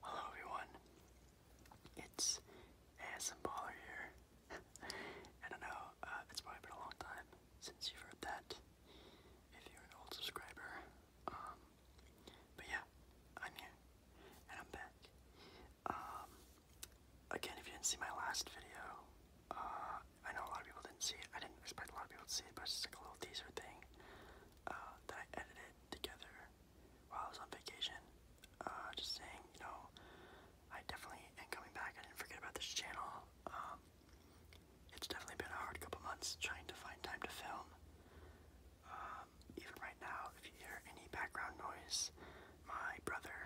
Hello everyone, it's ASMBaller here. I don't know, uh, it's probably been a long time since you've heard that, if you're an old subscriber. Um, but yeah, I'm here, and I'm back. Um, again, if you didn't see my last video, uh, I know a lot of people didn't see it. I didn't expect a lot of people to see it, but just a little teaser thing uh, that I edited together while I was on vacation. Uh, just saying, you know, I definitely am coming back. I didn't forget about this channel. Um, it's definitely been a hard couple months trying to find time to film. Um, even right now, if you hear any background noise, my brother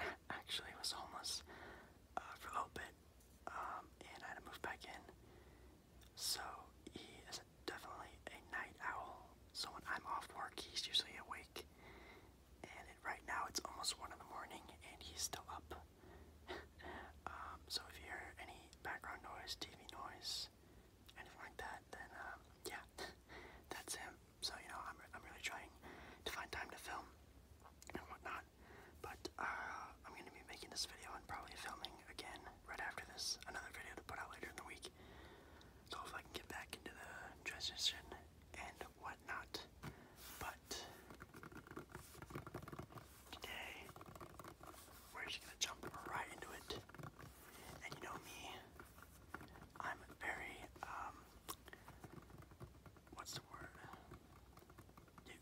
actually was homeless uh, for a little bit, um, and I had to move back in. So he is definitely a night owl. So when I'm off work, he's usually awake. And right now it's almost one in the morning, and he's still up. Um, so if you hear any background noise, TV noise, anything like that, then um, yeah, that's him. So you know, I'm I'm really trying to find time to film and whatnot. But uh, I'm gonna be making this video and probably filming again right after this, another video to put out later in the week. So if I can get back into the transition and whatnot. But today we're just gonna jump right into it. And you know me, I'm very um what's the word? You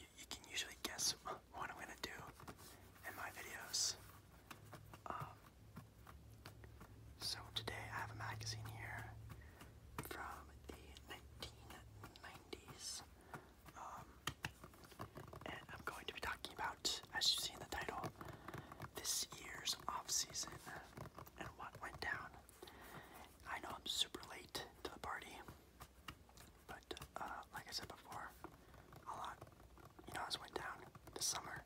you you, can usually guess what I'm gonna do in my videos. Um, so today I have a magazine here from the 1990s, um, and I'm going to be talking about, as you see in the title, this year's off season and what went down. I know I'm super late to the party. But uh, like I said before, a lot, you know, I went down this summer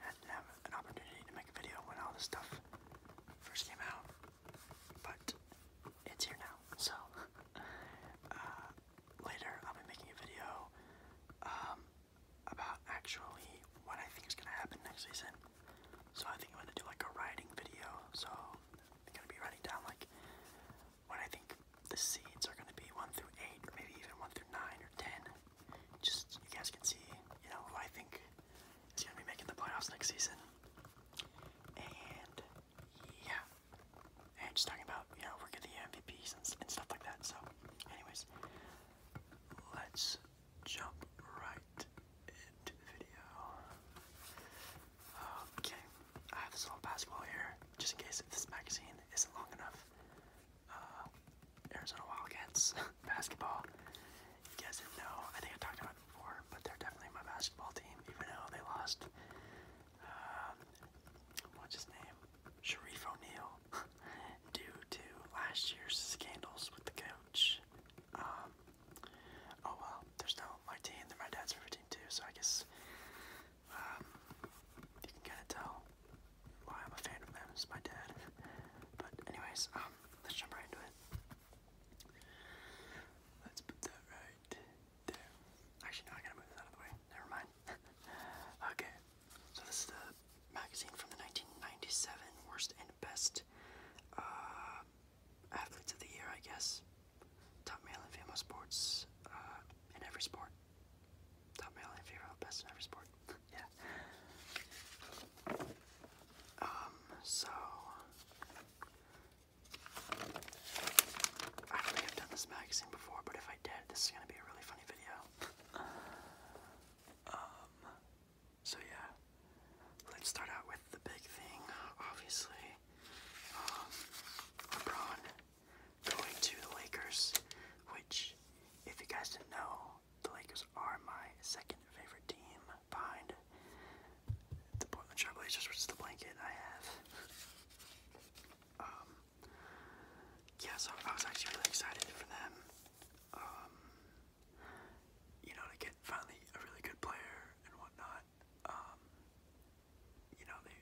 and have an opportunity to make a video when all this stuff first came out. But it's here now, so uh, later I'll be making a video um, about actually what I think is gonna happen next season. So I think I'm gonna do like a riding video. So I'm gonna be riding down like when I think the seeds are going to be 1 through 8, or maybe even 1 through 9 or 10. Just you guys can see, you know, who I think is going to be making the playoffs next season. And yeah, and just talking about, you know, working are the MVPs and stuff like that. So, anyways, let's jump right into the video okay, I have this little basketball here, just in case if this magazine isn't long enough. Uh, Arizona Wildcats basketball. You guys didn't know, I think I talked about it before, but they're definitely my basketball team, even though they lost. Um, what's his name? Sharif O'Neal, due to last year's scandals with the coach. Um, oh well, there's no my team. they my dad's favorite team too. So I guess um, you can kind of tell why I'm a fan of them. It's my dad. But anyways, um, let's jump right into it. Let's put that right there. Actually, I gotta move this out of the way. Never mind. okay, so this is the magazine from the 1997 Worst and Best uh, athletes of the year, I guess. Top male and female sports uh, in every sport. Top male and female best in every sport. yeah. Um. So I don't think I've done this magazine before, but if I did, this is gonna be a really funny video. um. So yeah, let's start out with the big thing, obviously. LeBron um, going to the Lakers, which, if you guys didn't know, the Lakers are my second favorite team behind the Portland Trailblazers, which is the blanket I have. Um, yeah, so I was actually really excited for them. Um, you know, to get finally a really good player and whatnot. Um, you know, they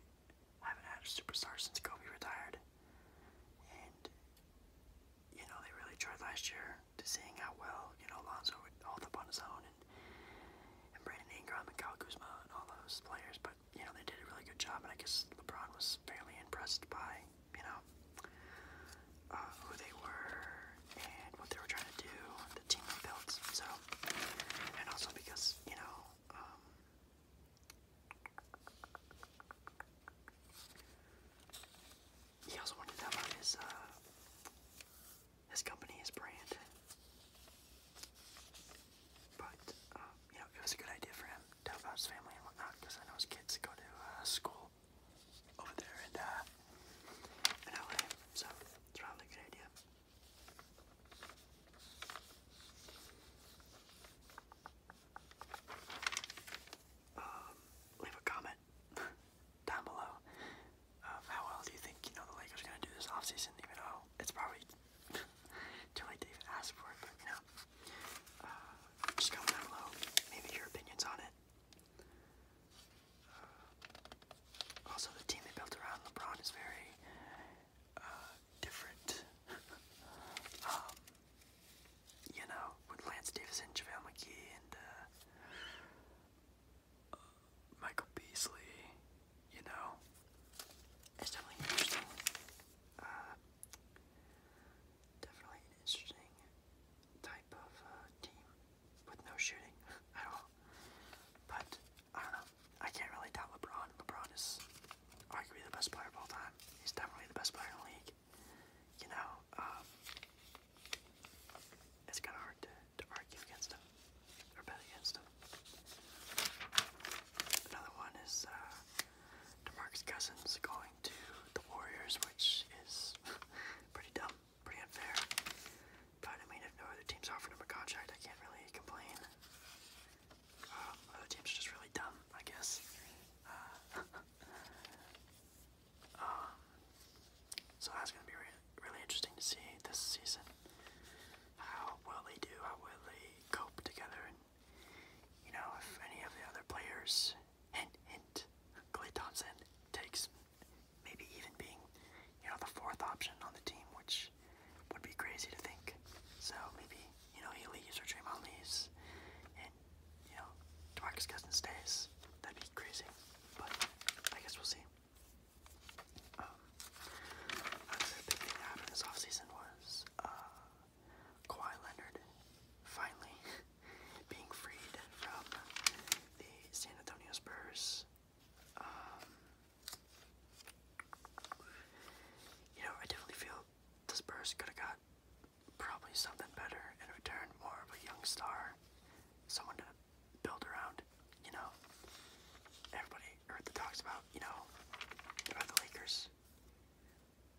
haven't had a superstar since Kobe retired. And, you know, they really tried last year to seeing how well, you know, Lonzo would hold up on his own and, and Brandon Ingram and Kyle Kuzma and all those players. But, you know, they did a really good job, and I guess LeBron was fairly impressed by, you know, uh, who they were and what they were trying to do the team I built. So, and also because you know, um, he also wanted to about his uh, his company, his brand. But um, you know, it was a good idea for him to help out his family and whatnot, because I know his kids go to uh, school over there and uh, in LA, so it's probably a good idea. Um, leave a comment down below of how well do you think you know the Lakers are gonna do this offseason, even though it's probably too late to even ask for it, but you know. Uh, just comment down below, maybe your opinions on it. Also, the team they built around LeBron is very uh, different. um, you know, with Lance Davis and JaVale McGee and uh, uh, Michael Beasley, you know, it's definitely interesting. Uh, definitely an interesting type of uh, team with no shooting at all. But I don't know. I can't really doubt LeBron. LeBron is arguably the best player of all time. He's definitely the best player in the league. You know, um, it's kind of hard to, to argue against him or bet against him. Another one is uh, DeMarcus Cousins going to the Warriors, which is pretty dumb pretty unfair. But I mean, if no other team's offered him a contract, I can't really complain. Uh, other teams are just really dumb, I guess. Um, so that's going to be really interesting to see this season. How will they do? How will they cope together? And, you know, if any of the other players, hint, Thompson takes maybe even being, you know, the fourth option on the team, which would be crazy to think. So maybe, you know, he leaves or Draymond leaves and, you know, Demarcus Cousins stays. That'd be crazy. But I guess we'll see. Um, another big thing that happened this offseason was uh, Kawhi Leonard finally being freed from the San Antonio Spurs um, you know, I definitely feel the Spurs could have got probably something better in return, more of a young star, someone to build around. You know, everybody heard the talks about, you know, about the Lakers.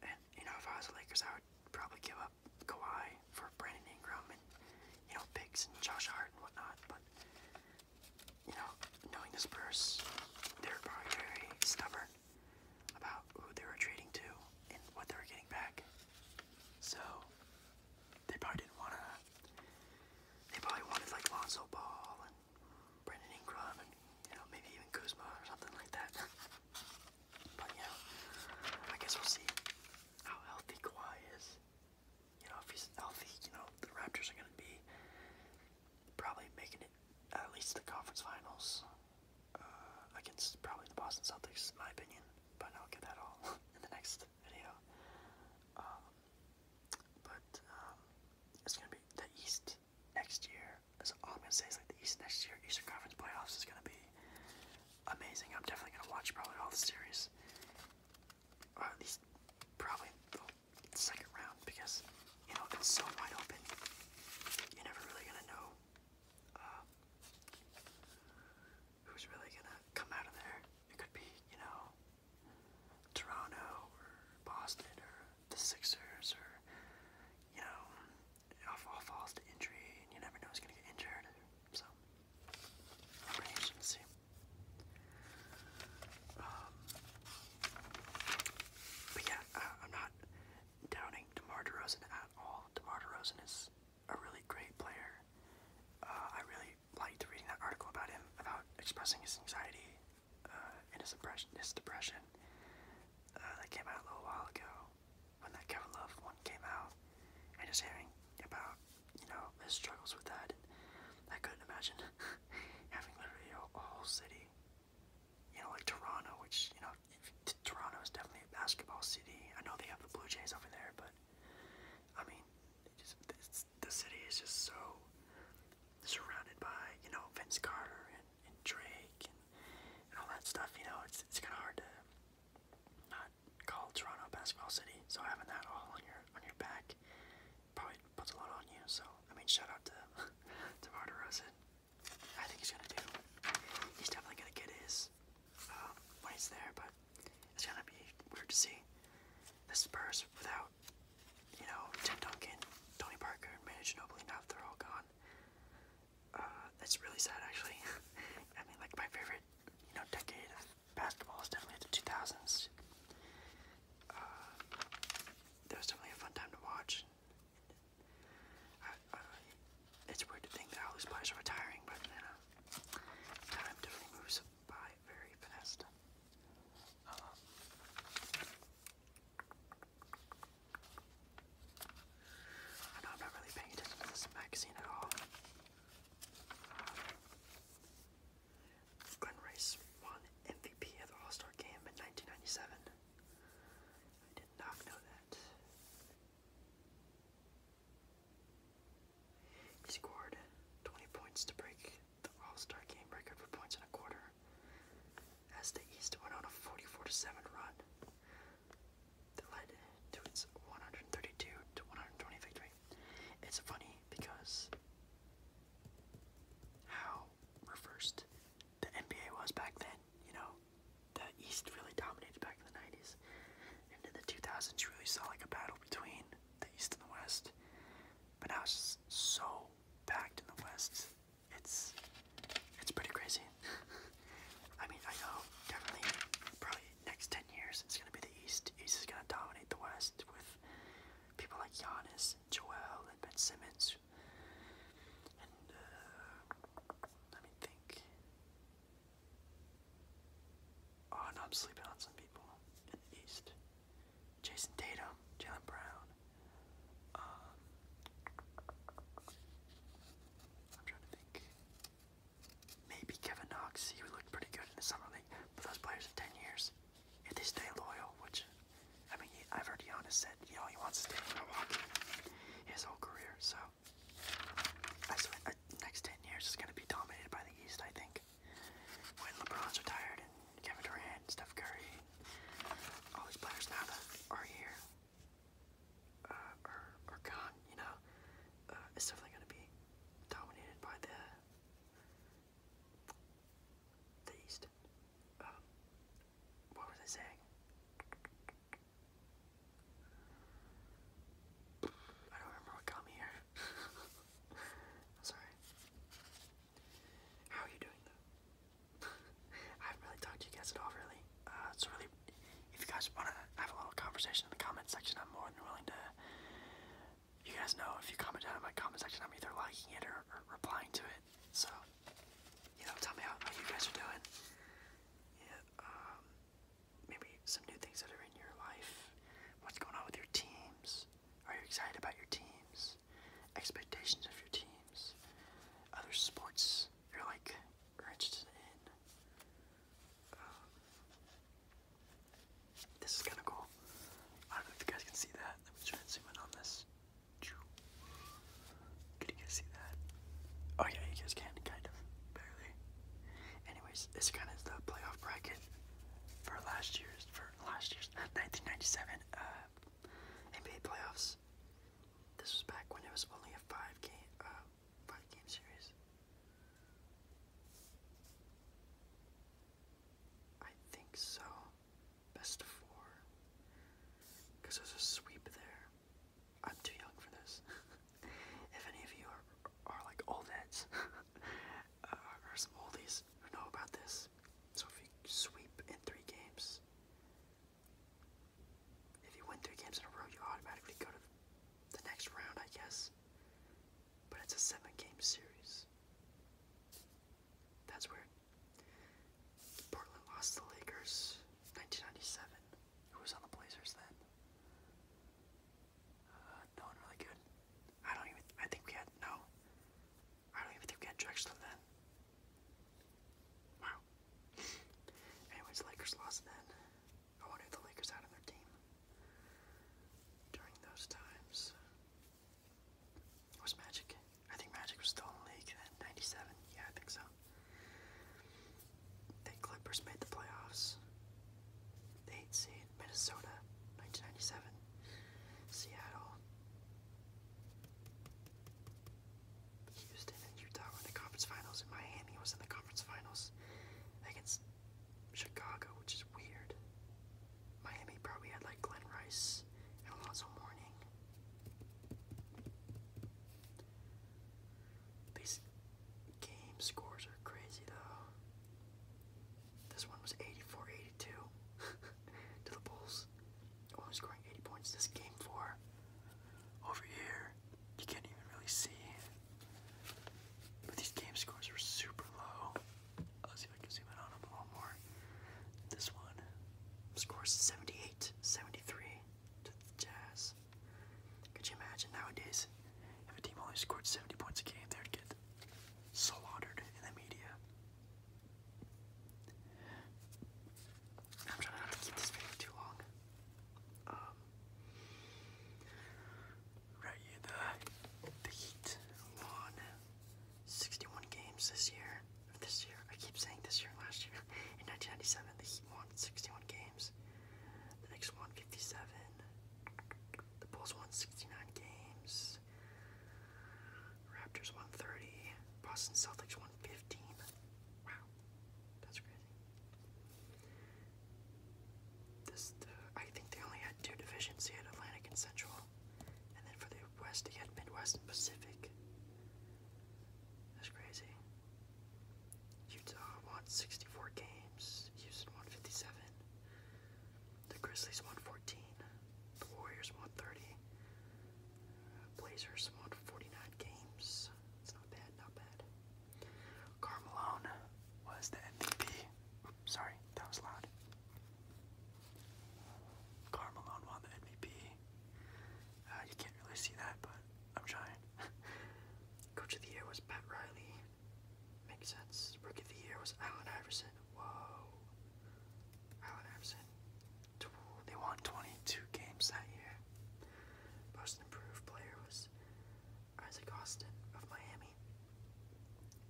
And, you know, if I was the Lakers, I would probably give up Kawhi guy for Brandon Ingram and you know picks and Josh Hart and whatnot, but you know, knowing the Spurs, they're probably very stubborn about who they were trading to and what they were getting back. So they probably didn't wanna they probably wanted like Lonzo Ball and Brandon Ingram and you know, maybe even Kuzma or something like that. but you know, I guess we'll see how healthy Kawhi is you know, if he's healthy, you know, the Raptors are going to be probably making it at least the conference finals uh, against probably the Boston Celtics, in my opinion. But I'll get that all in the next video. Um, but um, it's going to be the East next year. That's all I'm going to say is like the East next year, Eastern Conference playoffs is going to be amazing. I'm definitely gonna watch probably all the series, or at least probably the second round because you know it's so wide open. You're never really gonna know uh, who's really gonna come out of there. It could be you know Toronto or Boston or the Sixers or you know it all falls to injury, and you never know who's gonna get injured. So um, but yeah, I'm not downing DeMar DeRozan at all. DeMar DeRozan is a really great player. Uh, I really liked reading that article about him, about expressing his anxiety uh, and his depression. Uh, that came out a little while ago when that Kevin Love one came out, and just hearing about you know, struggles with that. I couldn't imagine having literally a, whole city, you know, like Toronto, which, you know, Toronto is definitely a basketball city. I know they have the Blue Jays over there, but I mean, just, the city is just so surrounded by, you know, Vince Carter and, Drake and, all that stuff. You know, it's, it's kind of hard to called Toronto Basketball City. So having that all on your on your back probably puts a lot on you. So I mean, shout out to to Martarosen. I think he's gonna do. He's definitely gonna get his um, when he's there, but it's gonna be weird to see the Spurs without you know Tim Duncan, Tony Parker, and Manu Ginobili. Now they're all gone. that's uh, really sad, actually. I mean, like my favorite you know, decade basketball is definitely the 2000s. Uh, that was definitely a fun time to watch. it's weird to think that all these players are retiring, but time definitely moves by very fast. Uh, I know I'm not really paying attention to this magazine at all. Glenn Rice won MVP of the All Star game in 1997. I did not know that. He scored 20 points to break the All Star game record for points in a quarter as the East went on a 44 7 run led to its 132 to 120 victory. It's funny because how reversed the NBA was back then, you know, the East really dominated back in the 90s. And in the 2000s, you really saw like a battle between the East and the West. But now it's just so packed in the West. It's it's pretty crazy. I mean, I know definitely probably next 10 years, it's going to be the East. East is going to dominate the West with people like Giannis, Joel, and Ben Simmons. And, uh, let me think. Oh, no, I'm sleeping on some people in the East. Jason Tatum, Jalen Brown. Um, I'm trying to think. Maybe Kevin Knox, he would look pretty good in the summer league, but those players in 10 years, if they stay loyal, which, I mean, I've heard Giannis said, you know, he wants to stay in Milwaukee his whole career, so. I swear, uh, next 10 years is going to be dominated by the East, I think. When LeBron's retired and Kevin Durant, Steph Curry, all these players now that are here, uh, or, gone, you know, uh, it's definitely going to be dominated by the East. Um, what was I saying? I don't remember what got me here. sorry. How are you doing I haven't really talked to you guys at all, really. Uh, it's really if you guys want to have a little conversation in the comment section, I'm more than willing to. You guys know if you comment down in my comment section, I'm either liking it or, or replying to it. So, you know, tell me how, how you guys are doing. Yeah, um, maybe some new things that are in your life. What's going on with your teams? Are you excited about your teams? Expectations of your teams? Other sports? You're like, Richardson Inn. Um, this is kind of cool. I don't know if you guys can see that. Let me zoom in on this. Can you guys see that? Oh yeah, you guys can, kind of, barely. Anyways, this kind of the playoff bracket for last year's, for last year's 1997 uh, NBA playoffs. This was back when it was only a five game, uh, by game series. I think so. Best four. Because there's a sweep there. I'm too young for this. if any of you are, are like all that, uh, or some oldies who know about this, so if you sweep in three games, if you win three games in a row, you automatically go to the next round, I guess. But it's a seven game series. That's weird. Portland lost the Lakers 1997. Who was on the Blazers then? Uh, no one really good. I don't even. I think we had. No. I don't even think we had Drexler then. Wow. Anyways, Lakers lost then. I wanted the Lakers out of their team during those times. It was Magic? I think Magic was still in the league in 97. Yeah, I think so. The Clippers made the playoffs. The 8th seed, Minnesota, 1997. Seattle. Houston and Utah in the conference finals, and Miami was in the conference finals against Chicago, which is weird. Miami probably had like Glenn Rice and Alonzo Mourning. These game scores are crazy though. This one was 84 to the Bulls only oh, scoring 80 points this game for. Over here, you can't even really see. But these game scores are super low. I'll oh, see if I can zoom in on them a little more. This one scores 78, 73 to the Jazz. Could you imagine nowadays if a team only scored 70 points a game, they'd get slaughtered in the media. I'm trying not to keep this video too long. Um, right here, the, the Heat won 61 games this year. This year, I keep saying this year and last year. In 1997, the Heat won 61 games. The Knicks won 57. The Bulls won 69 games. Raptors won 30. Boston Celtics won 15. Wow, that's crazy. This, I think they only had two divisions. They had Atlantic and Central, and then for the West, they had Midwest and Pacific. That's crazy. Utah won 64 games. Houston won 57. The Grizzlies won 14. The Warriors won 30. Blazers won 49 games. It's not bad, not bad. Carmelone was the MVP. sorry, that was loud. Carmelone won the MVP. Uh, you can't really see that, but I'm trying. Coach of the Year was Pat Riley. Makes sense. Rookie of the Year was Allen Iverson. Whoa. Allen Iverson. They won 22 games that year. Most improved player was Isaac Austin of Miami.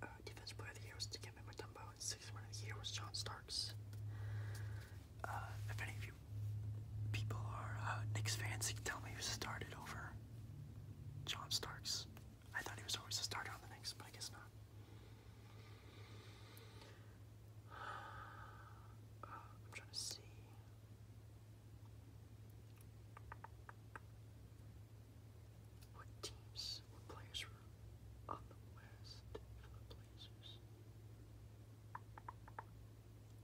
Uh, defense player of the year was Dikembe Mutombo, sixth man of the year was John Starks. Uh, if any of you people are uh, Knicks fans, you can tell me who started over John Starks. I thought he was always the starter on the Knicks, but I guess not. I'm trying to see. What teams, what players were on the West for the Blazers?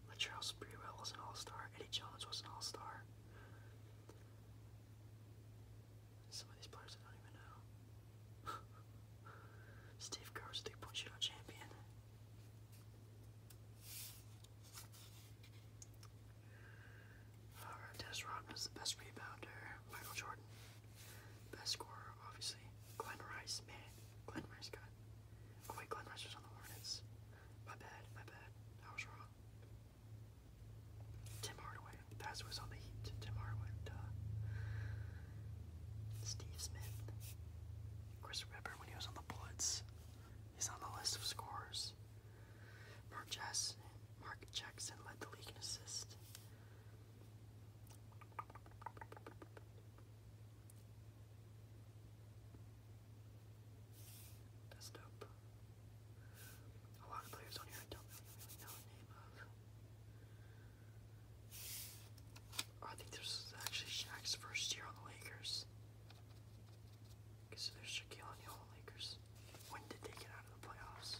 Latrell Sprewell was an all-star. Eddie Jones was an all-star. Some of these players I don't even know. Steve Kerr's three point shootout champion. Alright, Dennis Rodman the best rebounder. Michael Jordan, best scorer, obviously. Glenn Rice, man. Glenn Rice got. Oh, wait, Glenn Rice was on the Hornets. My bad, my bad. I was wrong. Tim Hardaway. That's was on the Heat. Tim Hardaway, duh. Steve Smith, Chris Webber when he was on the Bullets. He's on the list of scorers. Mark Jackson, Mark Jackson led the league in assists. That's dope. A lot of players don't really, know the name of. I think this is actually Shaq's first year on the Lakers. Because there's Shaquille on the Lakers. When did they get out of the playoffs?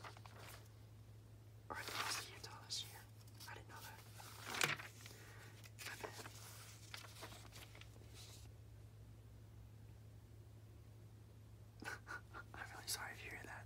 Or they lost to Utah this year. I didn't know that. I'm really sorry to hear that.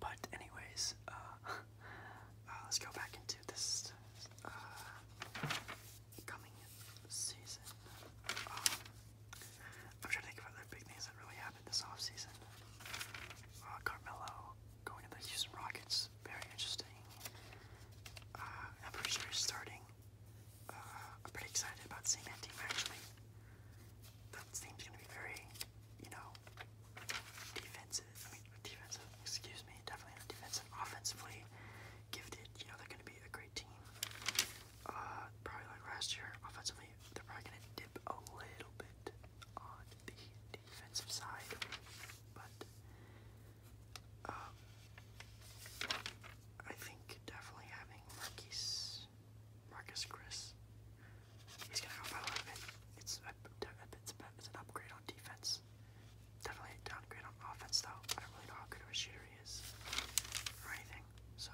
But anyways, uh, uh, let's go back into this uh, coming season. Um, I'm trying to think of other big things that really happened this offseason. Uh, Carmelo going to the Houston Rockets, very interesting. Uh, I'm pretty sure he's starting. Uh, I'm pretty excited about that team actually. That team's going to be very, you know, defensive. I mean, defensive, excuse me, definitely defensive, offensively gifted. You know, they're going to be a great team. Uh, probably like last year, offensively they're probably going to dip a little bit on the defensive side, but um, I think definitely having Marquise, Marcus Chris, he's going to help out a little bit. It's, an upgrade on defense. Definitely a downgrade on offense, though. I don't really know how good of a shooter he is or anything, so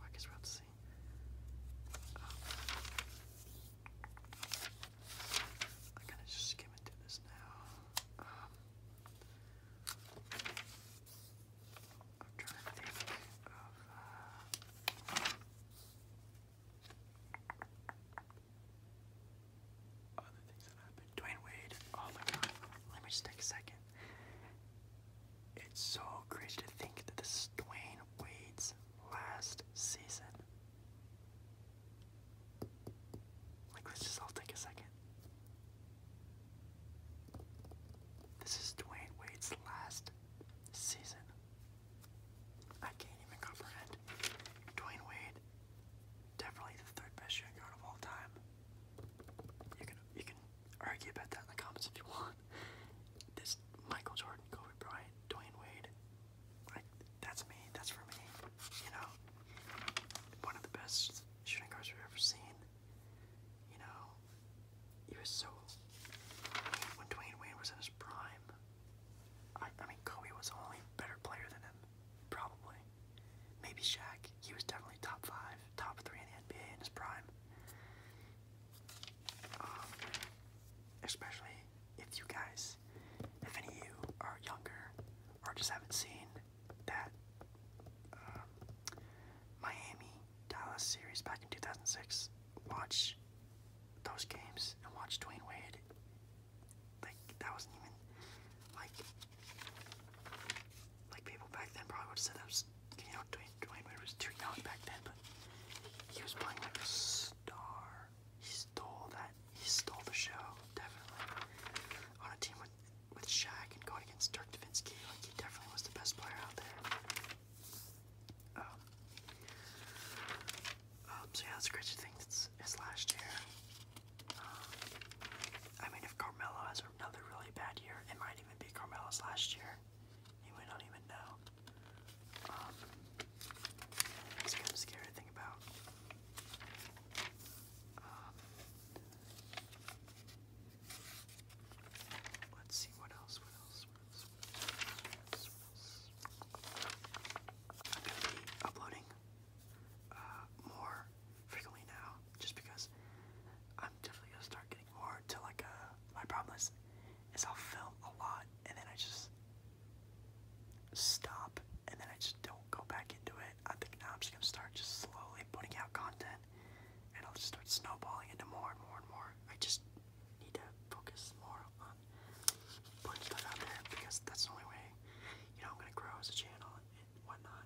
I we'll see. I'm kind of just skimming through this now. Um, I'm trying to think of. Uh, other things that happened. Dwayne Wade. Oh my god. Let me just take a second. It's so crazy to think that this is Dwayne Wade's last season. Like, let's just all take a second. This is Dwayne Wade's last season. I can't even comprehend. Dwayne Wade, definitely the third best shooting of all time. You can you can argue about that in the comments if you want this Michael Jordan, Kobe Bryant, Dwayne Wade, like that's me, that's for me. You know, one of the best shooting guards we've ever seen. You know, he was so. When Dwayne Wade was in his prime, I, I mean, Kobe was the only better player than him, probably. Maybe Shaq. He was definitely top five, top three in the NBA in his prime. Um, especially if you guys, if any of you are younger or just haven't seen that um, Miami Dallas series back in 2006, watch those games and watch Dwayne Wade. Like that wasn't even like like people back then probably would have said that you know, Dwayne, was too young back then, but he was playing like a star. He stole that. He stole the show, definitely. On a team with with Shaq and going against Dirk Nowitzki, like he definitely was the best player out there. Um, um, so yeah, that's a great thing. It's last year. Um, I mean, if Carmelo has another really bad year, it might even be Carmelo's last year. You might not even know. Um, that's kind scary to think about. Um, let's see what else. What else? What else? What else? What else? uploading uh, more frequently now, just because i definitely gonna start getting more to like a. Uh, my problem is, is i film a lot and then I just stop and then I just don't go back into it. I think now I'm just gonna start just slowly putting out content and I'll just start snowballing into more and more and more. I just need to focus more on putting stuff out there because that's the only way you know I'm gonna grow as a channel and whatnot.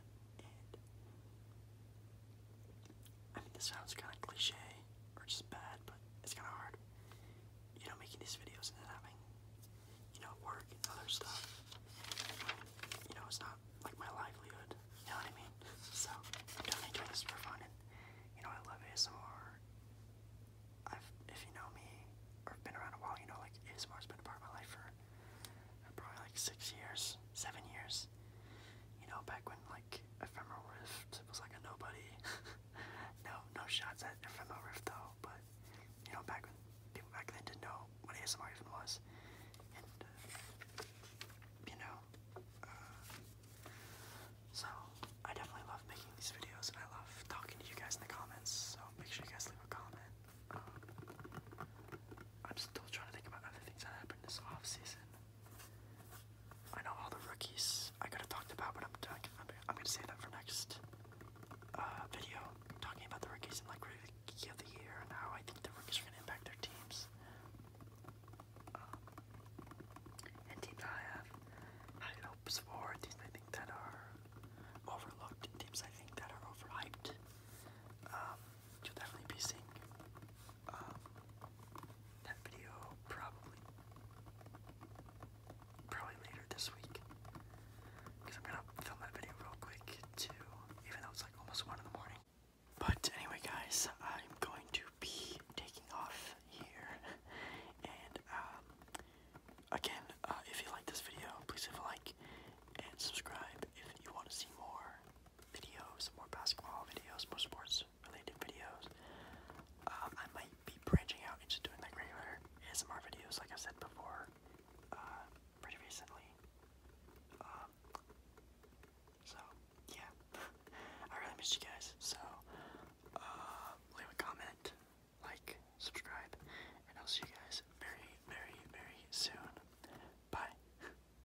I think this sounds kind of cliche or just bad, but it's kind of hard. You know, making these videos and then having, you know, work and other stuff. You know, it's not like my livelihood. You know what I mean? So, I'm definitely doing this for fun. you know, I love ASMR. I've, if you know me, or been around a while, you know, like ASMR's been a part of my life for uh, probably like six years, seven years. You know, back when like like Rift was like a nobody. no, no shots at Ephemeral Rift though, but you know, back when people back then didn't know what ASMR even was, uh, you know, uh, so I definitely love making these videos, and I love talking to you guys in the comments. So make sure you guys leave a comment. Um, I'm still trying to think about other things that happened this off season. I know all the rookies I could have talked about, but I'm i I'm gonna save that for next uh, video, talking about the rookies and like rookie of the year and how I think the rookies are gonna impact their teams. Um, and teams I have high hopes for, teams I think that are overlooked, teams I think that are overhyped. Um, definitely be seeing um, that video probably probably later this week because I'm gonna film that video real quick too even though it's like almost one in the morning but anyway guys I'm going to be taking off here and um, again uh, if you like this video please leave a like and subscribe if you want to see more videos, more basketball videos, more sports related videos. Um, I might be branching out into doing like regular ASMR videos, like I said before, uh, pretty recently. Um, so, yeah, I really missed you guys. So, uh, leave a comment, like, subscribe, and I'll see you guys very, very, very soon. Bye.